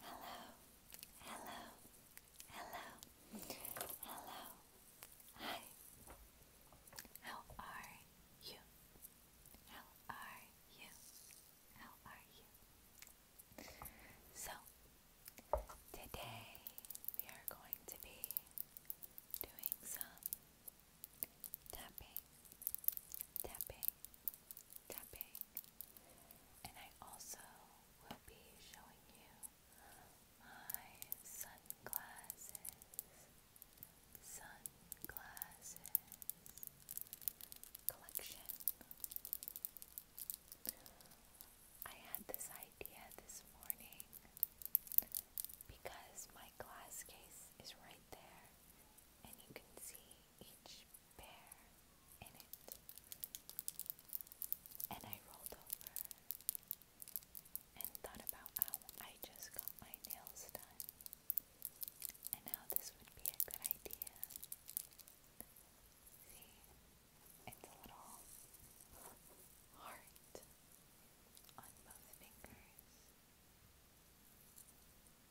Hello, hello, hello, hello. Hi. How are you? How are you? How are you? So, today we are going to be doing some tapping, tapping, and I also will be showing you my sunglasses, sunglasses collection. I had this idea this morning because my glass case is right there and you can see each bear in it. And I rolled over and thought about how I just got my nails done and how this would be a good idea. See, it's a little heart on both fingers. Yeah.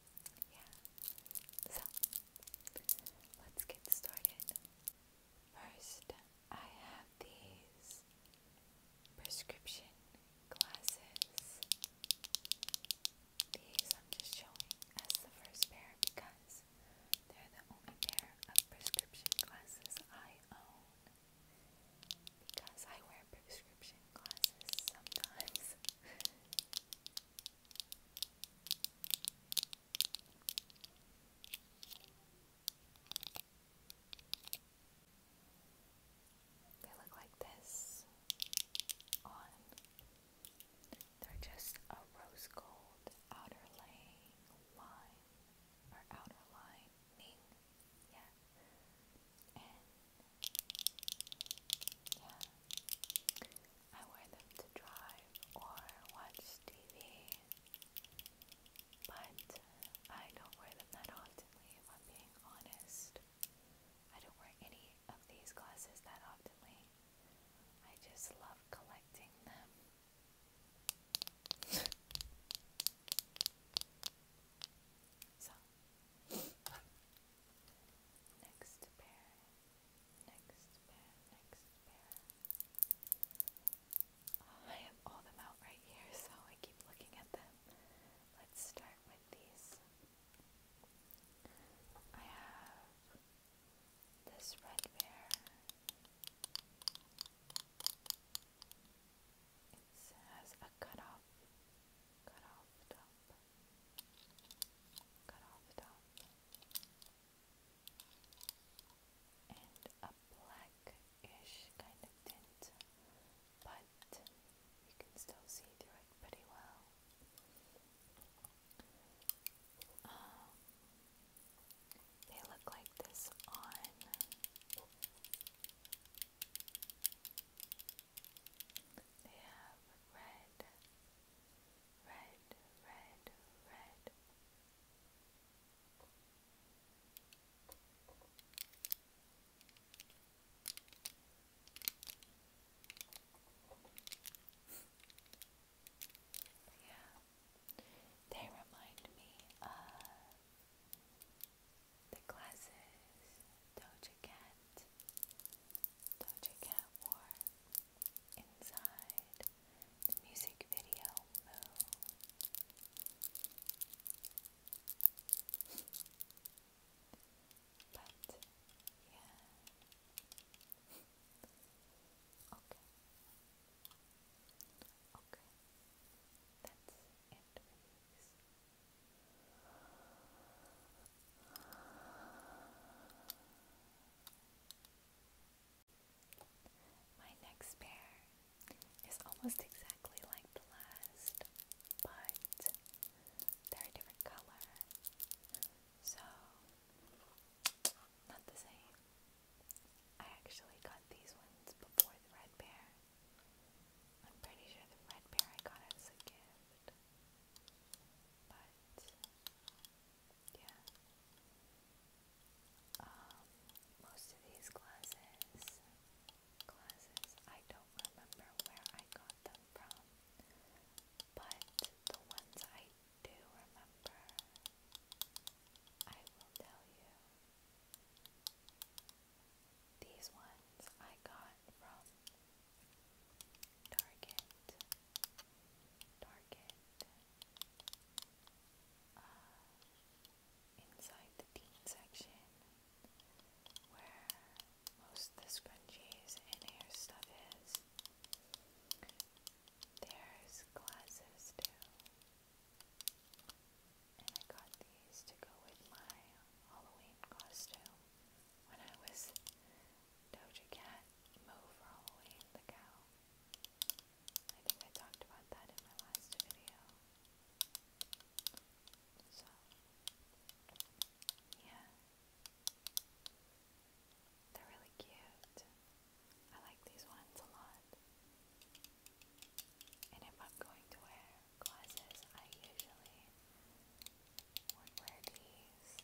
So, let's get started. First, I have these prescription glasses. These I'm just showing as the first pair because they're the only pair of prescription glasses I own. Because I wear prescription glasses sometimes. They look like this on. They're just a rose gold outer laying line or outer lining. Yeah. And yeah. I wear them to drive or watch TV, but I don't wear them that oftenly I'm being honest. I don't wear any of these glasses that oftenly. I just love collecting them. so, next pair Next pair, next pair. Oh, I have all them out right here, so I keep looking at them. Let's start with these. I have this red bear. It has a cut off, cut off top cut off the top, and a blackish kind of tint, but you can still see through it pretty well. Um, they look like this on they have red, red, red, red. yeah, they remind me of the glasses Doja Cat Doja Cat wore inside the music video But, yeah. okay. Okay. That's it my next pair is almost exactly like the last, but they're a different color, so not the same. I actually got these ones before the red pair. I'm pretty sure the red bear I got as a gift. But yeah. Um, most of these glasses glasses I don't remember where I got them from. But the ones I do remember I will tell you. These ones I got from Target, Target, uh, inside the teen section where most of the scrunchies and hair stuff is. There's glasses too. And I got these to go with my Halloween costume when I was Doja Cat Mo for the cow. I think I talked about that in my last video. So, yeah. They're really cute. I like these ones a lot. And if I'm going to wear glasses, I usually would wear these because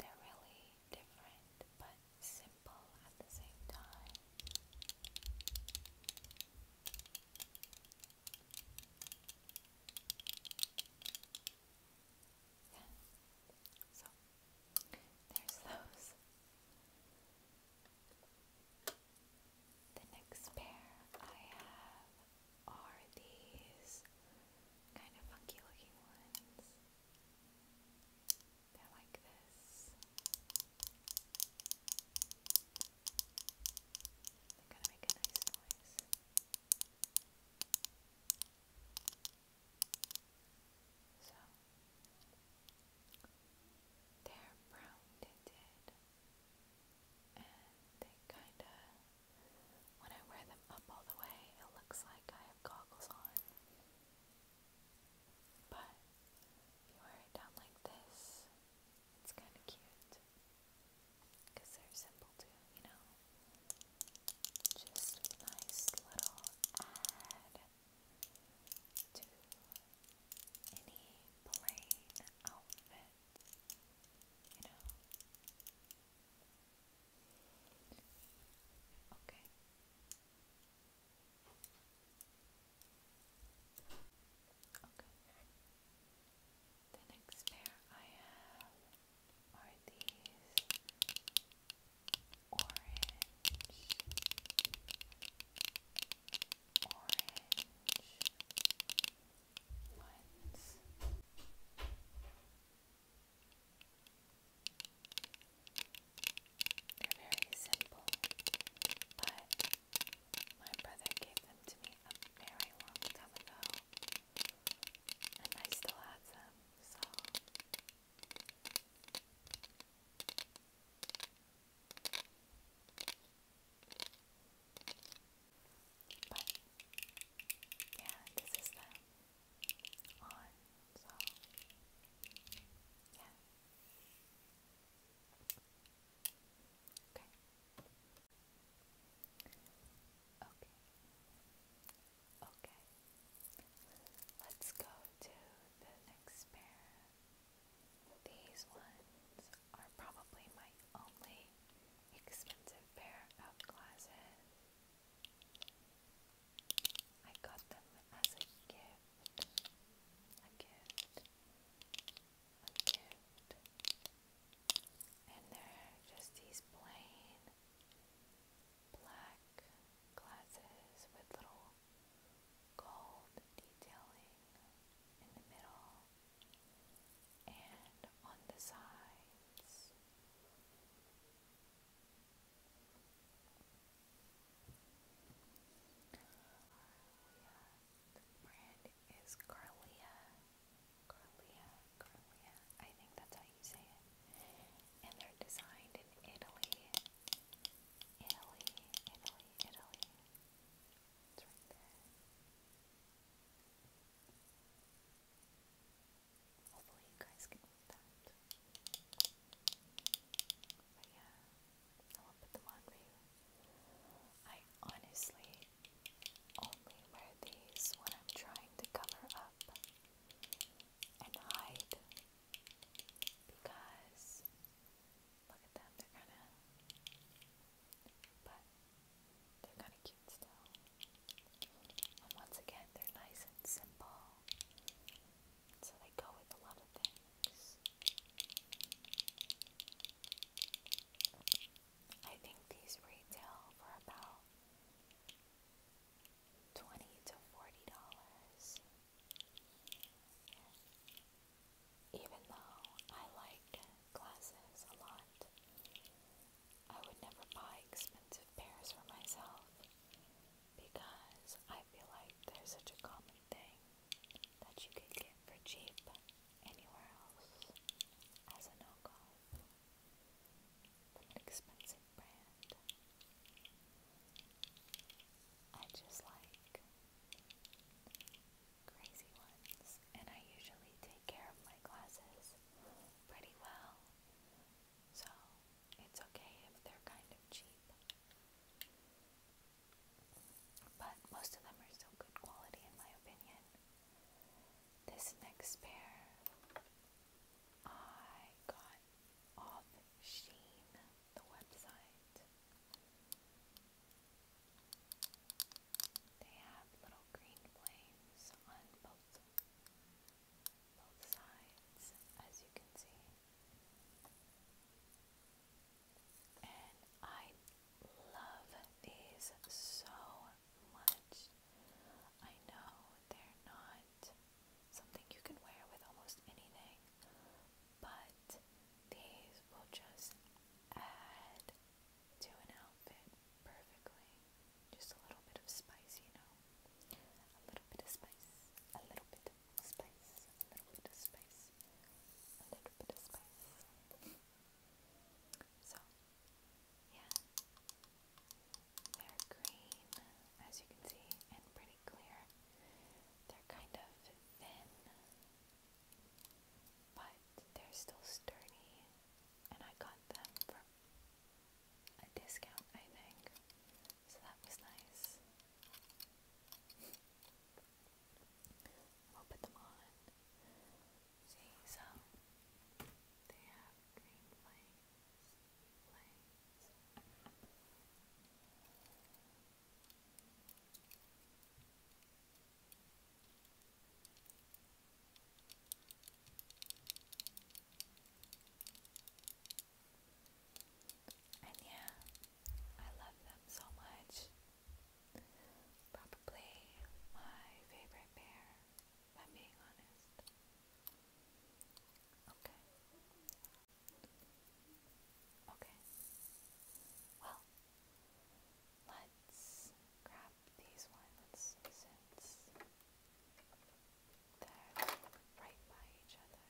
they're really different but simple at the same time. So there's those. The next pair I have are these kind of funky looking ones. They're like this. They're gonna make a nice noise. So they're brown tinted and they kind of, when I wear them up all the way, it looks like I have goggles on. But if you wear it down like this, it's kind of cute. Because they're simple too, you know? Just nice little add to any plain outfit it, you know. Okay. Okay. The next pair I have are these orange, orange, ones. They're very simple, but my brother gave them to me a very long time ago, and I still have them, so. But yeah, this is them on, so yeah. Okay. Okay. Okay. Let's go to the next pair these ones are probably my only expensive pair of glasses. I got them as a gift. A gift. A gift. And they're just these plain black glasses with little gold detailing in the middle and on the sides. The brand is Carlia. Carlia, Carlia. I think that's how you say it. And they're designed in Italy. Italy, Italy, Italy. It's right I honestly only wear these when I'm trying to cover up and hide because look at them, they're kind of but they're kind of cute still. And once again, they're nice and simple, so they go with a lot of things. I think these retail for about twenty to forty dollars. Even though I like glasses a lot, I would never buy expensive pairs for myself because I feel like they're such a common thing that you could get for cheap anywhere else as a no go from an expensive brand. I just like crazy ones, and I usually take care of my glasses pretty well, so it's okay if they're kind of cheap. But most of them are still good quality, in my opinion. This next pair I got off Sheen, the website. They have little green flames on both both sides, as you can see. And I love these so much. I know they're not something you can wear with almost anything, but these will just add to an outfit perfectly. Just a little bit of spice, you know. A little bit of spice, a little bit of spice, a little bit of spice, a little bit of spice. so, yeah. They're green, as you can see, and pretty clear. They're kind of thin, but they're still sturdy, and I got them for a discount, I think. So that was nice. we them on. See, so they have green flakes, flakes. And yeah, I love them so much. Probably my favorite pair, I'm being honest. Okay. Okay. Well, Let's grab these ones since they're right by each other.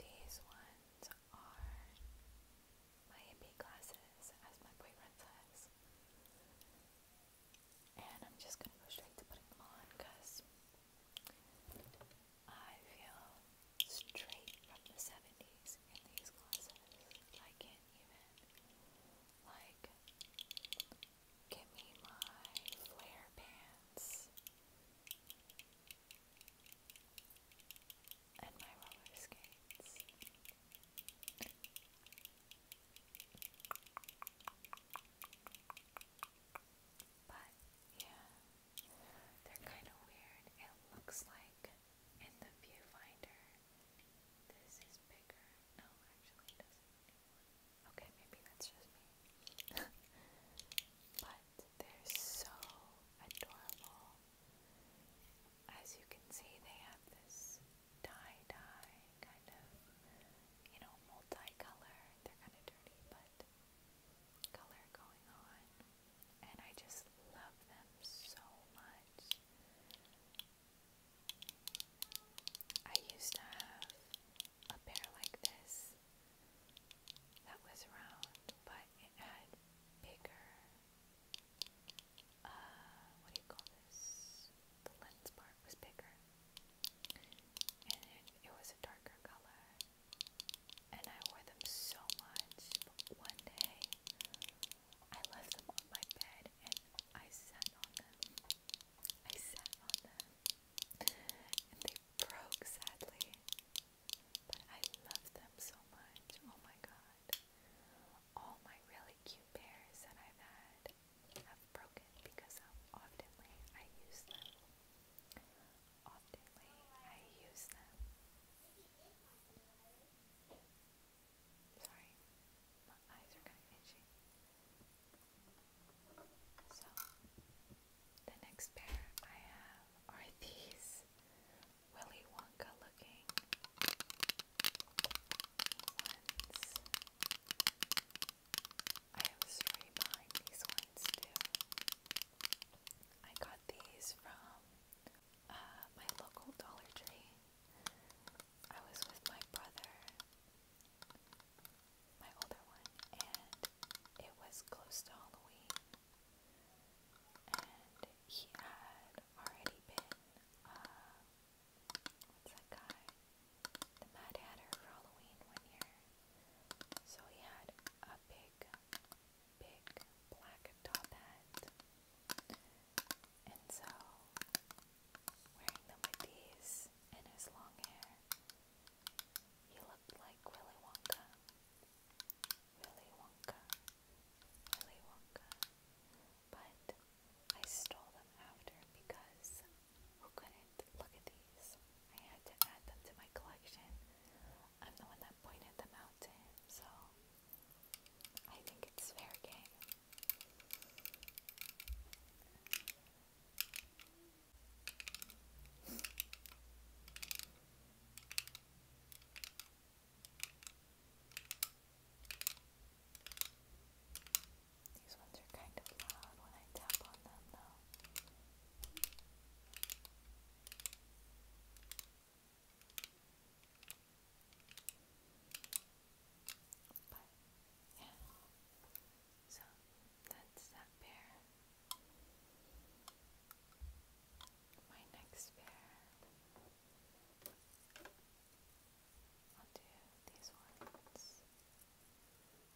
These ones are my AP glasses, as my boyfriend says. And I'm just gonna go straight to putting them on because I feel straight from the 70s in these glasses. I can't even, like, give me my flare pants and my roller skates. But yeah, they're kind of weird. It looks like in the viewfinder, this is bigger. No, actually, it Okay, maybe that's just me. but they're so adorable. As you can see, they have this tie dye kind of, you know, multicolor. They're kind of dirty, but color going on, and I just love them so much. I used to have a pair like this that was round, but it had bigger, uh, what do you call this? The lens part was bigger, and it, was a darker color and I wore them so much. one day, I left them on my bed and I sat on them. I sat on them, and they broke sadly. But I love them so much. Oh my god. All my really cute pairs that I've had have broken because how often I use them oftenly I use them. Sorry, my eyes are kind itchy. So, the next pair I have are these Willy Wonka looking ones. I have a story these ones too. I got these from uh, my local Dollar Tree. I was with my brother, my older one, and it was close to Halloween. And he had already been, uh, what's that The Mad Hatter for Halloween one year. So he had a big big, black top hat. And so, wearing them with these and his long hair, he looked like Willy Wonka. Willy Wonka. Willy Wonka. But I stole them after because who couldn't? Look at these. I had to add them to my collection. I'm the one that pointed them out to him, so I think it's fair game. These ones are kind of loud when I tap on them, though. But yeah, so that's that pair. My next pair, I'll do these ones.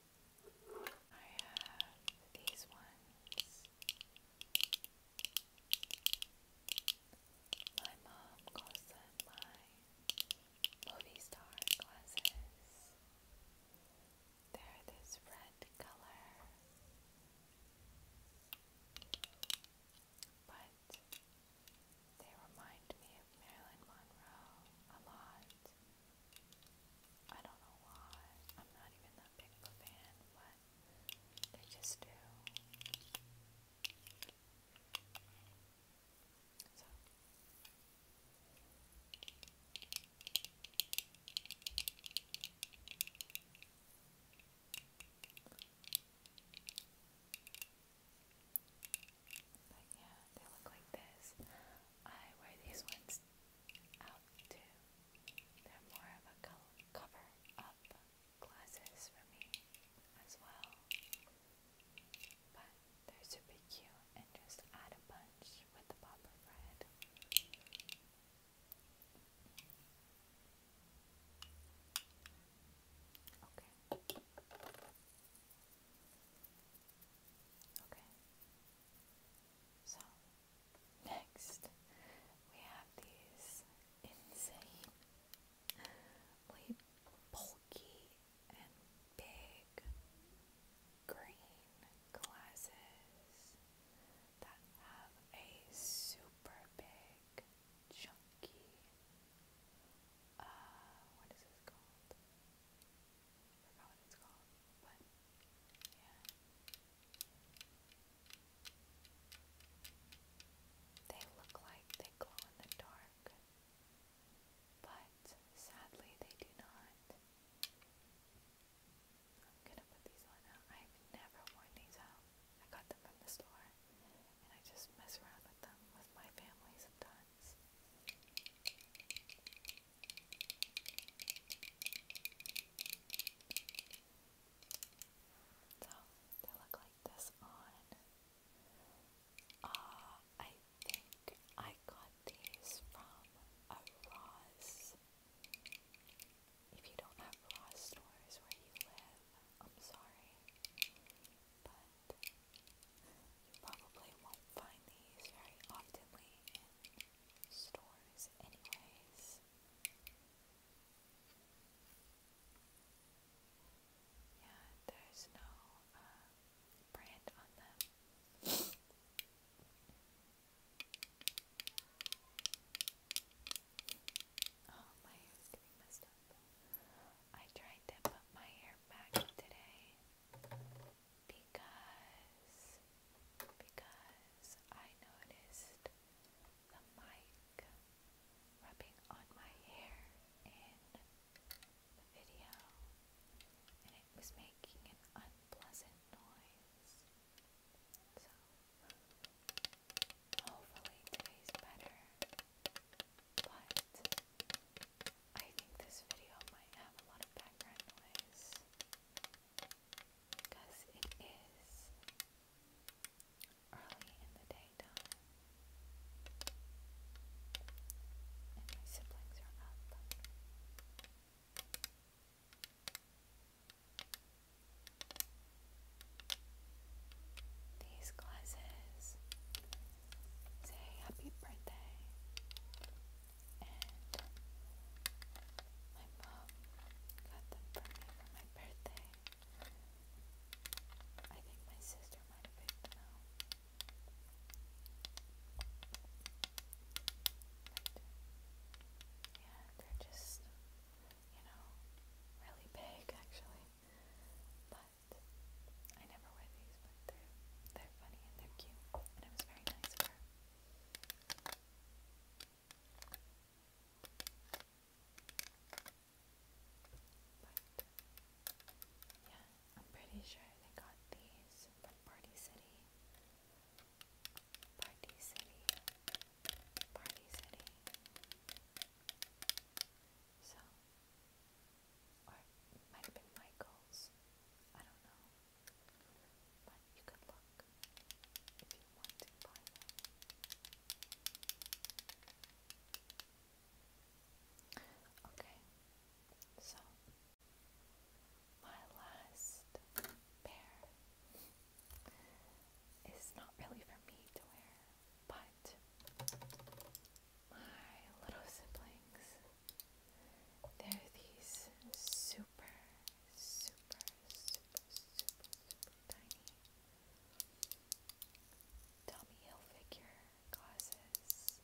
I have these ones. My mom calls them my movie star glasses. They're this red color, but they remind me of Marilyn Monroe a lot. I don't know why. I'm not even that big of a fan, but they just do. So. yeah, they look like this. I wear these ones out too. They're more of a cover up glasses for me as well. But they're super cute and just add a bunch with the popper bread. Okay. Okay. So, next we have these insane, really bulky and big green glasses that have a super big, chunky, uh, what is this called? forgot what They look like they glow in the dark, but sadly they do not. I'm gonna put these on now. I've never worn these out. I got them from the store, and I just mess around with them with my family sometimes. So they look like this on. Uh, I think I got these from a Ross. If you don't have Ross stores where you live, I'm sorry. But you probably won't find these very oftenly stores anyways. Yeah, there's no uh, brand on them. oh, my hair's getting messed up. I tried to put my hair back today because because I noticed the mic rubbing on my hair in the video and it was making an unpleasant noise. So hopefully today's better. But I think this video might have a lot of background noise because it is early in the daytime and my siblings are up. These glasses say happy birthday and my mom got them for me for my birthday. I think my sister might have picked them out. But, yeah, they're just, you know, really big actually. But I never wear these they're, they're funny and they're cute, and it was very nice of her. yeah, I'm pretty sure they got these from Party City. Party City. Party City. So, or might have been Michael's. I don't know. But you Okay, so my last pair is not really for me to wear, but my little siblings there are these super, super, super, super, super tiny Tommy Hilfiger glasses.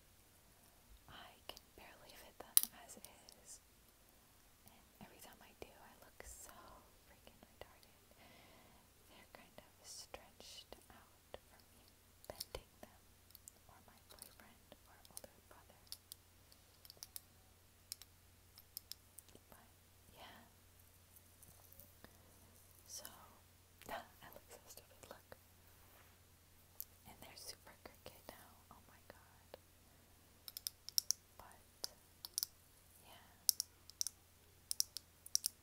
I can barely fit them as is. And every time I do, I look so freaking retarded. They're kind of stretched out from me bending them, or my boyfriend or older brother. yeah. So I look so look. And they're super crooked now. Oh my god. But yeah.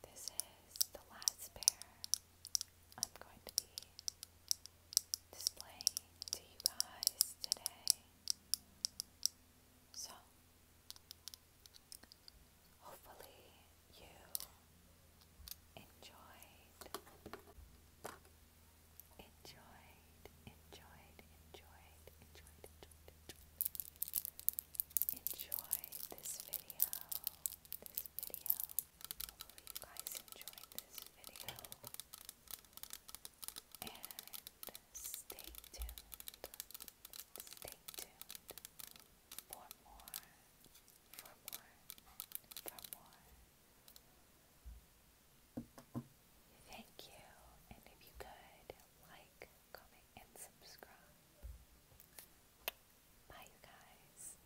This is the last pair I'm going to be displaying to you guys today. So, hopefully, you enjoyed, enjoyed, enjoyed, enjoyed, enjoyed, enjoyed, enjoyed, this video. This video. Hopefully you guys enjoyed this video and stay tuned, stay tuned for more, for more, for more. Thank you, and if you could, like, comment, and subscribe. Bye, you guys.